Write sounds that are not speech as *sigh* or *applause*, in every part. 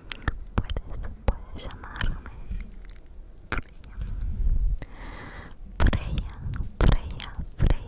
puedes, puedes llamarme Freya, Freya, Freya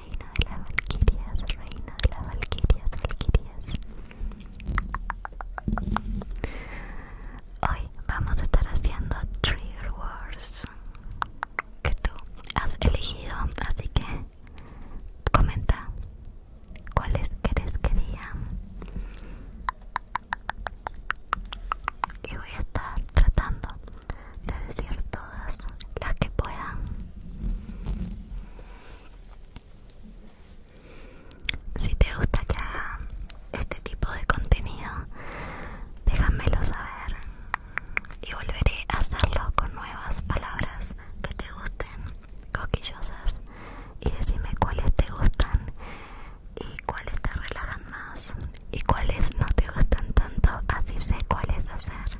reina de las valquirias, reina de las valquirias, valquirias. Hoy vamos a estar haciendo Trigger Wars que tú has elegido, así que comenta cuáles querés que digan Y voy a estar tratando de decir todas las que puedan si te gusta que este tipo de contenido, déjamelo saber y volveré a hacerlo con nuevas palabras que te gusten, coquillosas, y decime cuáles te gustan y cuáles te relajan más y cuáles no te gustan tanto, así sé cuáles hacer.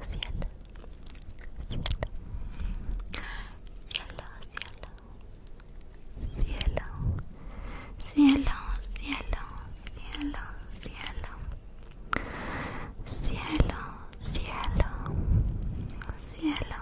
cielo cielo cielo cielo cielo cielo cielo cielo cielo cielo cielo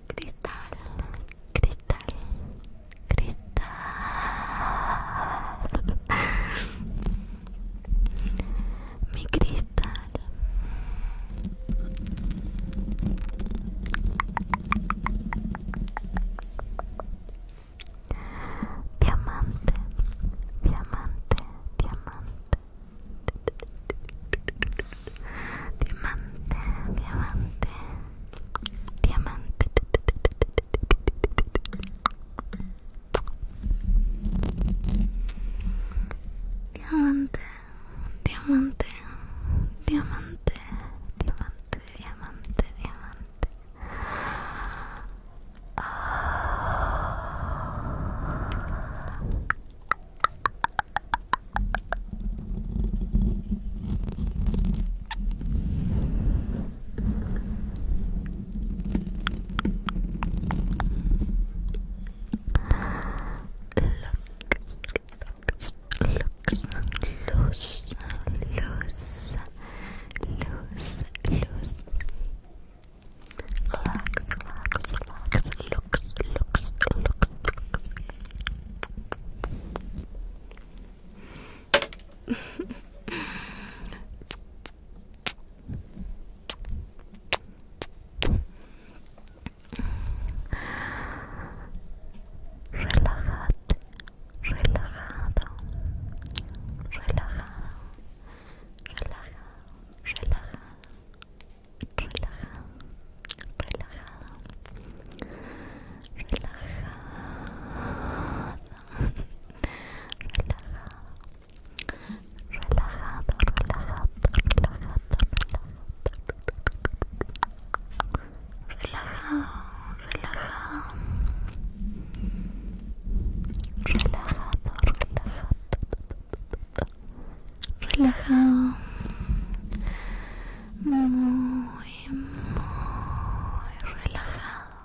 cristal, cristal, cristal. Mi cristal. Diamante, diamante, diamante. diamante, diamante, diamante. Diamante, diamante, diamante, diamante, diamante, diamante. Oh. Loose, loose, loose, loose. Relax, relax, relax. Looks, looks, looks, looks. Relajate, relajado, relajado, relajado, relajado relajado, relajado, relajado, relajado, relajado, relajado, relajado, relajado, muy, muy relajado, relajado.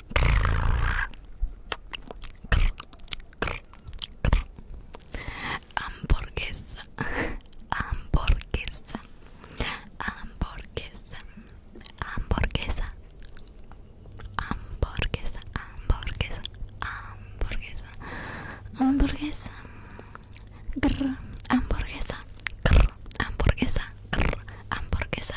hamburguesa hamburguesa hamburguesa hamburguesa hamburguesa hamburguesa hamburguesa hamburguesa hamburguesa hamburguesa hamburguesa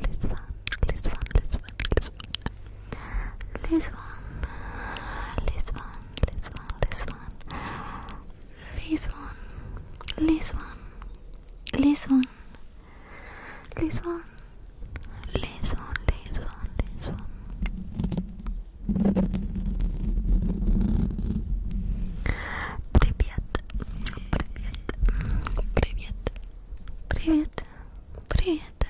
les van, les van, les van, les van, les van, les van, les van, les van, les van, les van, Привет,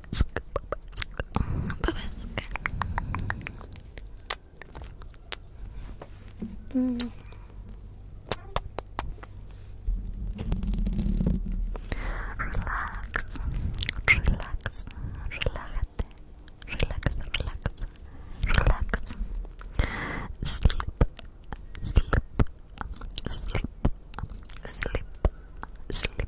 Babaskę, babaskę. Relax, relax, relax, relax, relax. Sleep, sleep, sleep, sleep, sleep,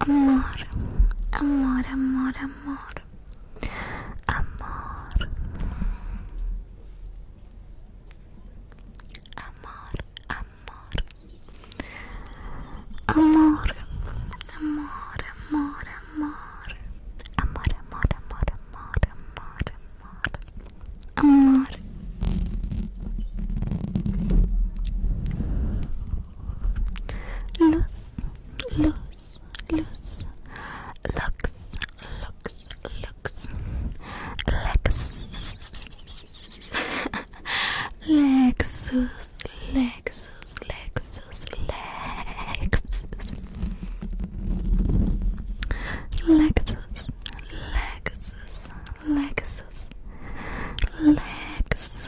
Amor, amor, amor, amor. Amor. Amor, amor. Amor, amor, amor, amor. Amor, amor, amor, amor, amor, amor. Amor. Luz, luz, luz. Lux, lux, lux. Lexus. Lexus, Lexus, Lexus, Lexus. Lexus, Lexus, Lexus. Lexus.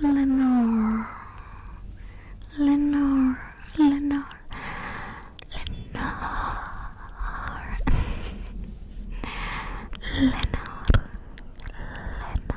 Lenore Lenore Lenore Lenore Lenore Lenore Lenore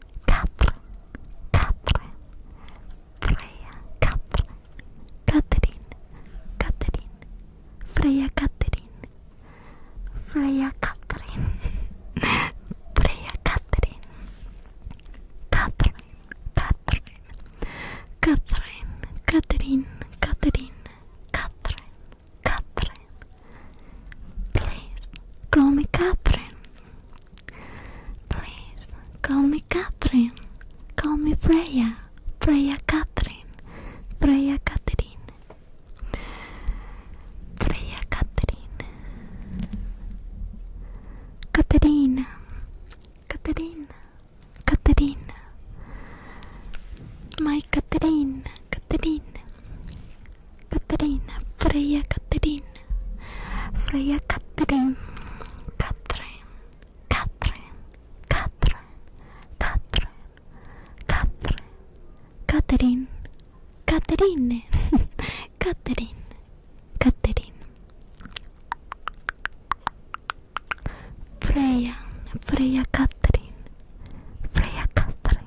Catherine, Catherine, Freya, Catherine, Catherine, Freya, Catherine, Freya, Catherine, Freya, Catherine, Catherine, Catherine, Catherine, Catherine, Catherine, Please call me Catherine. Please call me Catherine. Call me Freya. Freya Catherine. Freya Catherine. Freya Catherine. Caterina. Caterina. Caterina. My Caterina. Caterina. Caterina, Freya Caterina, Freya Caterina, Catherine, Catherine, Catherine, Catherine, Catherine, Catherine, Caterine, *laughs* Catherine, Catherine, Freya, Freya Catherine, Freya Catherine,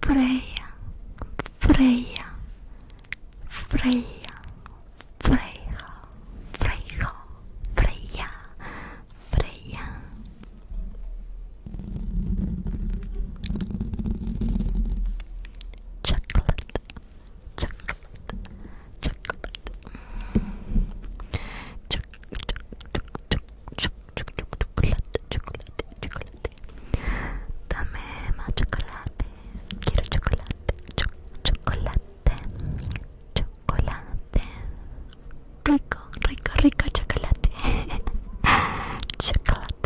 Freya, Freya, Freya, Freya, Freya, Freya, Freya, Chocolate, chocolate, chocolate. chocolate chocolate, chocolate, chocolate. Dame más chocolate. Quiero chocolate, chocolate, chocolate. Rico, rico, rico chocolate. *laughs* chocolate.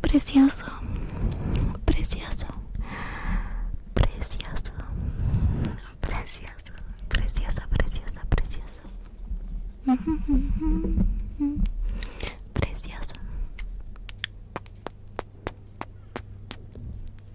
Precioso, precioso, precioso, precioso, precioso, preciosa, preciosa, preciosa. Precioso.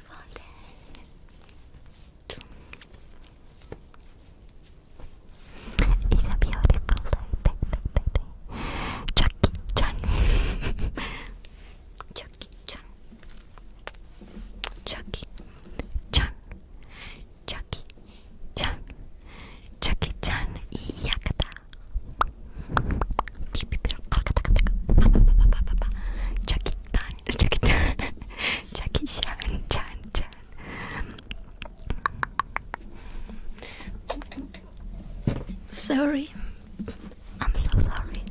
beautiful day. It's a beautiful day. day, day, day. Chucky Chan. Chucky Chan. Chucky Chan. Chucky Chan. Chucky Chan. Yakata. Jackie Chan, Jackie Chan, Jackie Chan, Chan, Chan. Sorry, I'm so sorry.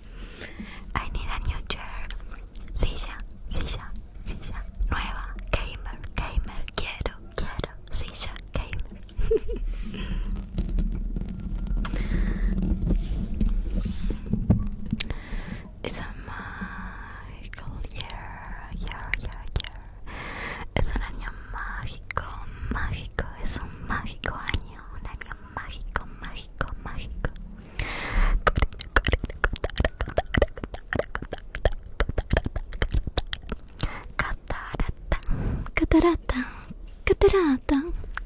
*laughs* I need a new chair. Silla, silla, silla. Nueva, gamer, gamer. Quiero, quiero, silla, gamer. *laughs* Es un magical year, year, year, Es un año mágico, mágico, es un mágico año, un año mágico, mágico, mágico. Catarata, catarata, catarata,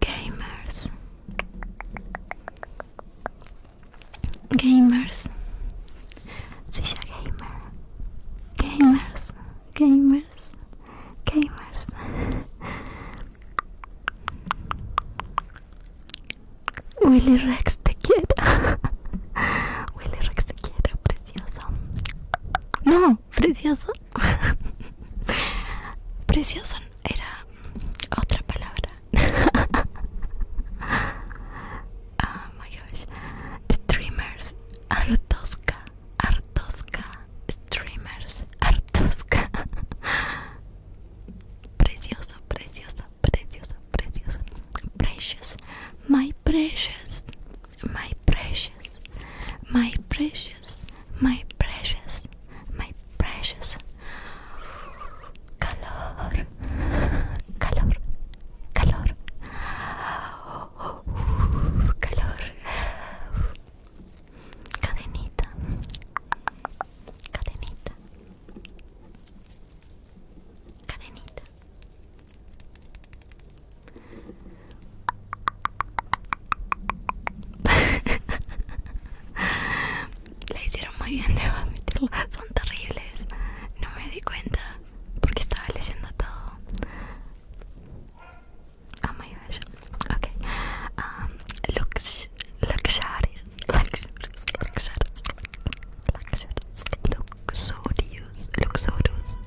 Gamers. Gamers. Sisha gamer. Gamers. Gamers. Gamers. Willy Rex the kid, *laughs* Willy Rex the te quiero, precioso. No, precioso *laughs* precioso era otra palabra oh *laughs* my gosh streamers artosca artosca streamers artosca *laughs* precioso precioso precioso precioso precious my precious my precious, my precious, my precious, my precious color, color, color, color, cadenita, cadenita, cadenita. *laughs* La hicieron muy bien, *laughs* admitirlo. Son terribles. No me di cuenta porque estaba leyendo todo. Oh my gosh. Ok. Um, lux, lux Lux.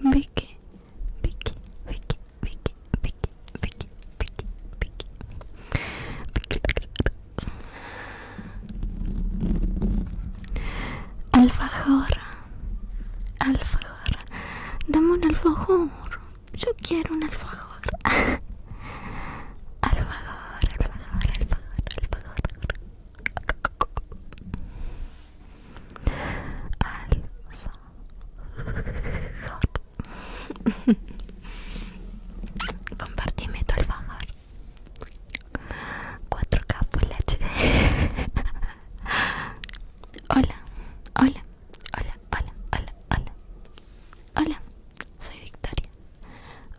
Vicky, Vicky, Vicky, Vicky, Vicky, Vicky, Vicky, Vicky, Vicky, Alfajor, alfajor, dame un alfajor, yo quiero un alfajor. Alfajor, alfajor, alfajor, alfajor alfajor *laughs* compartime tu alfajor 4K Full HD Hola, hola, hola, hola, hola, hola Hola, soy Victoria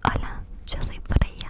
Hola, yo soy por ella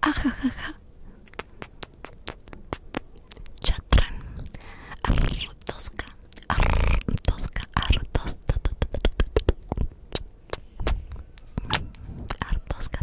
Ajajaja. *laughs* Chatran. Artosca. Artosca. Artosca. Artosca.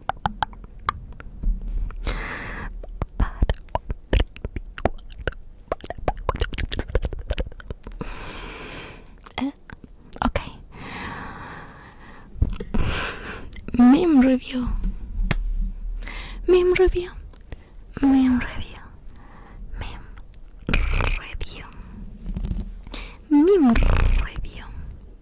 ¿Eh? Ok. Meme review. Mem review. Mem review. Mem review. Mem review.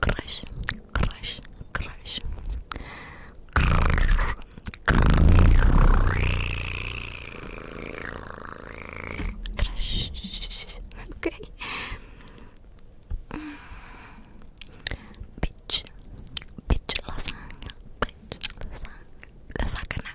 Crush, crush, crush. Crush. Okay. Bitch. Bitch lasagna. Bitch lasagna. Lasagna.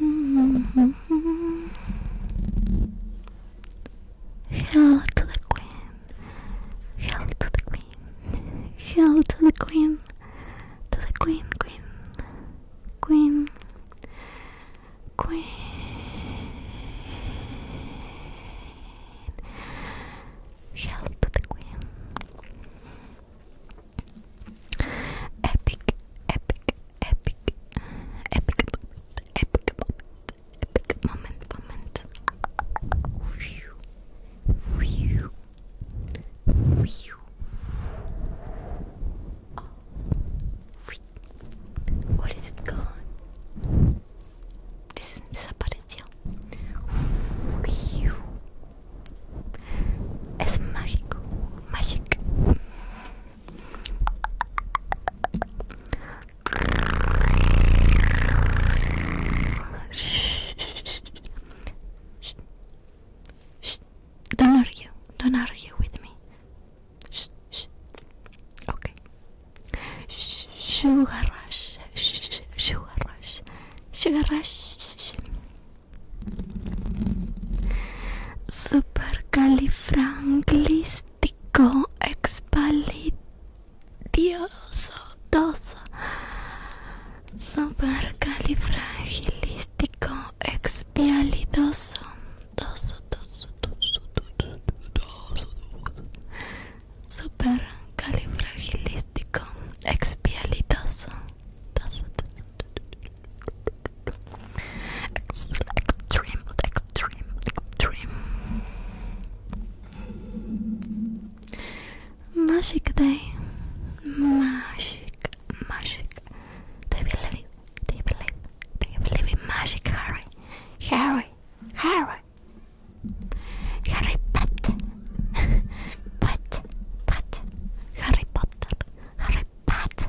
Mm Hail to the Queen. Hail to the Queen. Hail to the Queen. To the Queen, Queen, Queen, Queen. Hail to the Queen. Epic, epic, epic, epic moment, epic moment, epic moment, moment. Phew, phew, phew. Oh, phew. What is it gone? This desapareció. Phew. Es mágico, magic. Don't argue, don't argue with me. Okay. Sugar rush, sugar rush, sugar rush. Supercalifragilístico expalidioso doso. Supercalifragilístico expialidoso doso doso doso Supercalifragilístico expialidoso Extreme, extreme, extreme. Magic day. Magic, magic. Do you believe? Do you believe? Do you believe in magic, Harry? Harry, Harry. Harry Potter, but, but, Harry Potter, Harry Potter.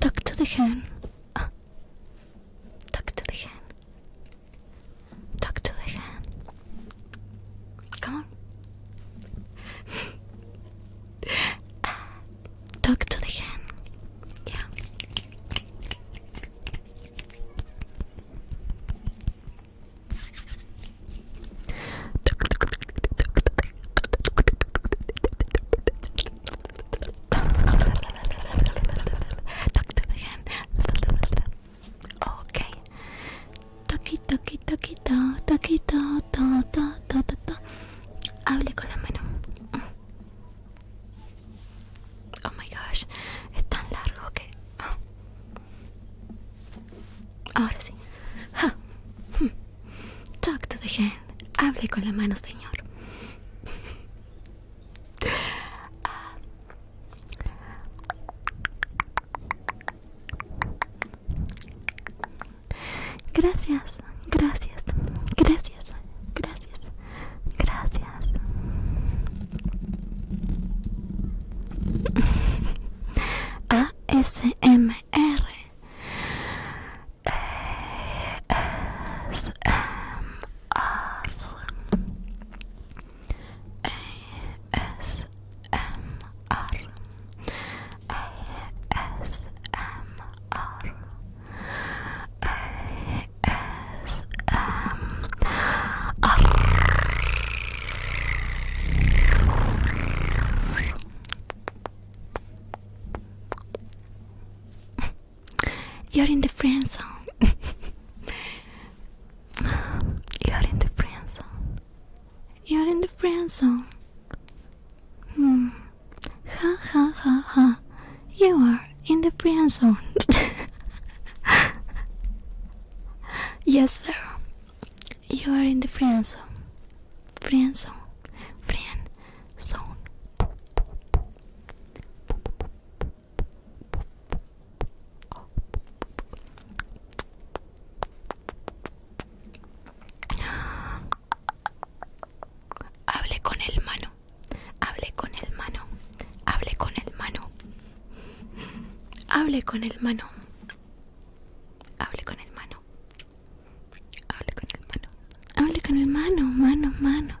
Tack to the hen. Tack to the hen. Talk to the hand. Come on. *laughs* Talk to the hand. Yeah. *laughs* Talk to the hand. Okay. to, to, to, to, Hable con la mano. Oh my gosh, es tan largo que. Oh. Ahora sí. Talk to the hand. Hable con la mano, señor. Gracias, gracias, gracias, gracias, gracias. ASMR e R A S M R A S M R A S M R you're in the friend zone. *laughs* You're in the friend zone. You're in the friend zone. Hmm. Ha ha ha ha. You are in the friend zone. *laughs* yes, sir. You are in the friend zone. Friend zone. Friend zone. Hable con el mano, hable con el mano, hable con el mano, hable con el mano, hable con el mano, hable con el mano, hable con el mano, mano, mano,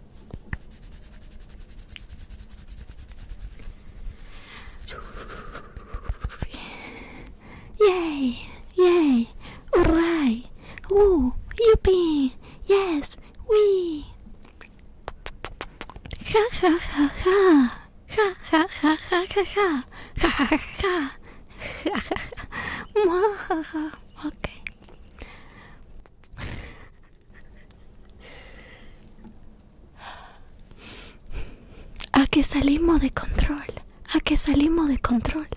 Yay! Yay! Alright! Woo! Yippee! Yes! Wee! Ha ha ha ha! Ha ha ha ha ha ha! Ha ha ha ha! Ha ha ha! Okay. a que salimos de control, a que salimos de control.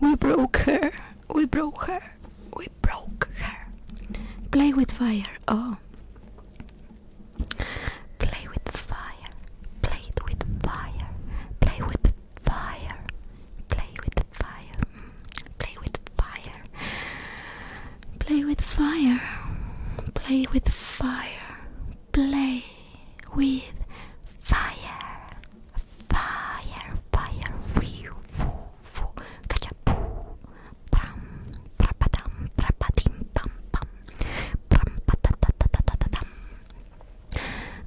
We broke her, we broke her, we broke her. Play with fire, oh. Play with fire, play with fire, play with fire. Play with fire. Mm. Play with fire. Play with fire. Play with fire. Play with fire. Fire, fire, foo, foo, foo. Kachapoo. Pram, prapadam, prapadim, pam, pam. Pram, patatatatatatatam.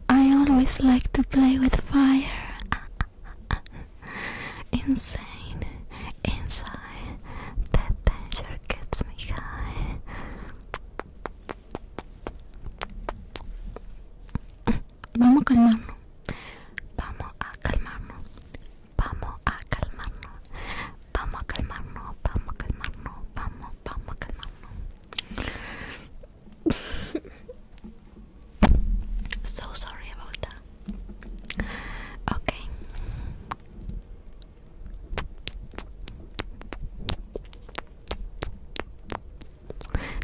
I always like to play with fire. Ah, *laughs* Insane insane. that danger gets me high. Vamos *laughs* a Vamos a calmarnos. Vamos a calmarnos. Vamos a Vamos a Vamos, vamos a *laughs* so sorry about that. Okay.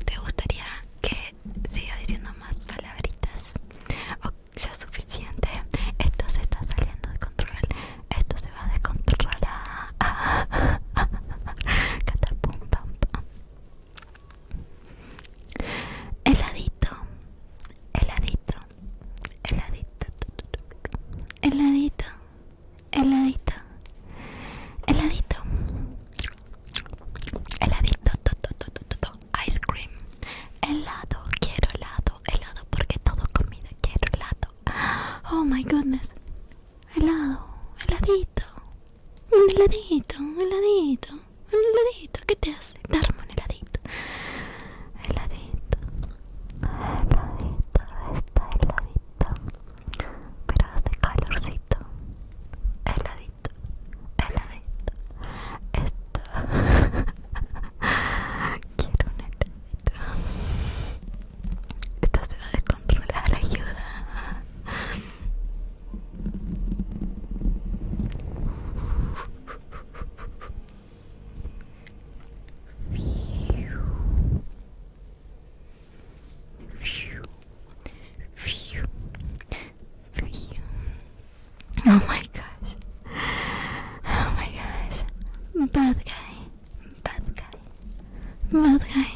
¿Te gustaría que siga diciendo más palabritas? ya es suficiente? Esto se está saliendo de control. Esto se va a descontrolar. *laughs* Catapum, pam, pam. Heladito, heladito, heladito, heladito, heladito, heladito, heladito, ice cream, helado, quiero helado, helado porque todo comida, quiero helado. Oh my goodness helado, heladito, un heladito, un heladito, un heladito, ¿qué te hace? Darme un heladito, heladito, heladito, está heladito, pero hace calorcito, heladito, heladito, esto, *laughs* quiero un heladito, esto se va a descontrolar, ayuda. Oh my gosh. Oh my gosh. Bad guy. Bad guy. Bad guy.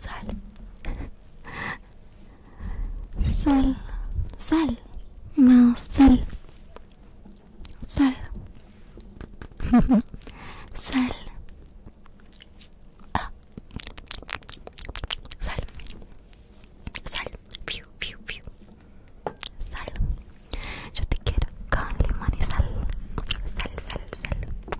sal sal sal no sal sal *laughs* ah. sal sal sal sal yo te quiero con sal sal sal sal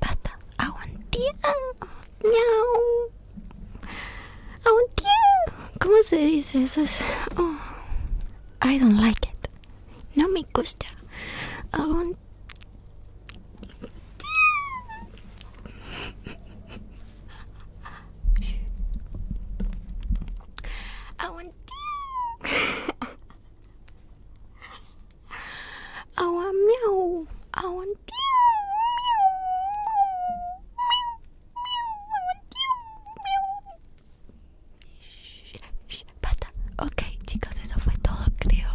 Basta, aguantía. Miau. Aguantía. ¿Cómo se dice eso? Oh, I don't like it. No me gusta. Aguantía. Aguantía. Agua miau. Ok, chicos, eso fue todo, creo.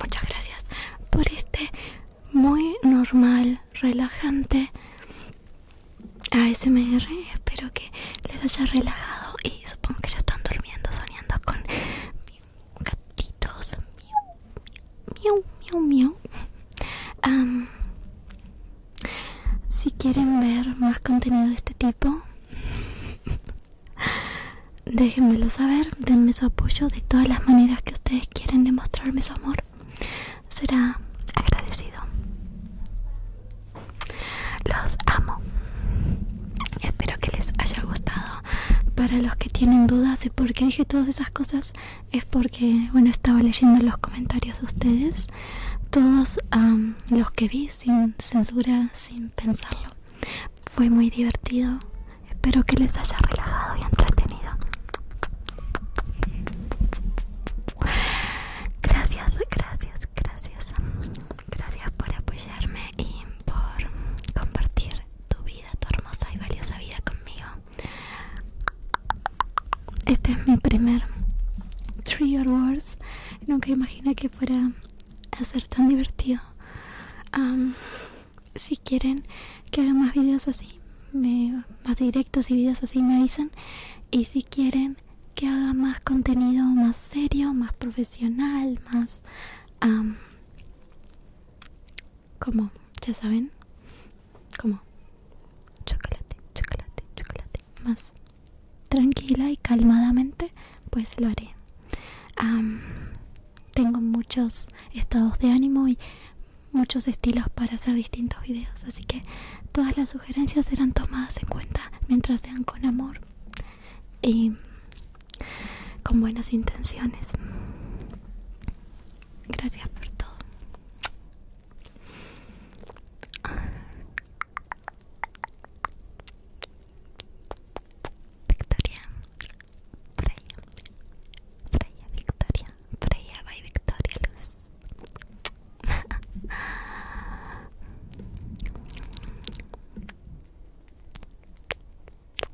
Muchas gracias por este muy normal, relajante ASMR. Espero que les haya relajado y supongo que ya están durmiendo, soñando con mi gatitos si quieren ver más contenido de este tipo *laughs* déjenmelo saber denme su apoyo de todas las maneras que ustedes quieren demostrarme su amor será agradecido los amo espero que les haya gustado para los que tienen dudas de por qué dije todas esas cosas, es porque, bueno, estaba leyendo los comentarios de ustedes, todos los que vi sin censura, sin pensarlo. Fue muy divertido. Espero que les haya relajado y entretenido. Gracias, gracias, gracias. Gracias por apoyarme y por compartir tu vida, tu hermosa y valiosa vida conmigo. Este es mi primer Tree WORDS Nunca imaginé que fuera hacer tan divertido. si quieren que haga más videos así, más directos y videos así me dicen Y si quieren que haga más contenido más serio, más profesional, más como ya saben como chocolate chocolate chocolate más tranquila y calmadamente pues lo haré tengo muchos estados de ánimo y muchos estilos para hacer distintos videos así que todas las sugerencias serán tomadas en cuenta mientras sean con amor y con buenas intenciones. Gracias por todo. Victoria, Freya, Freya, Victoria, Freya, by Victoria Luz.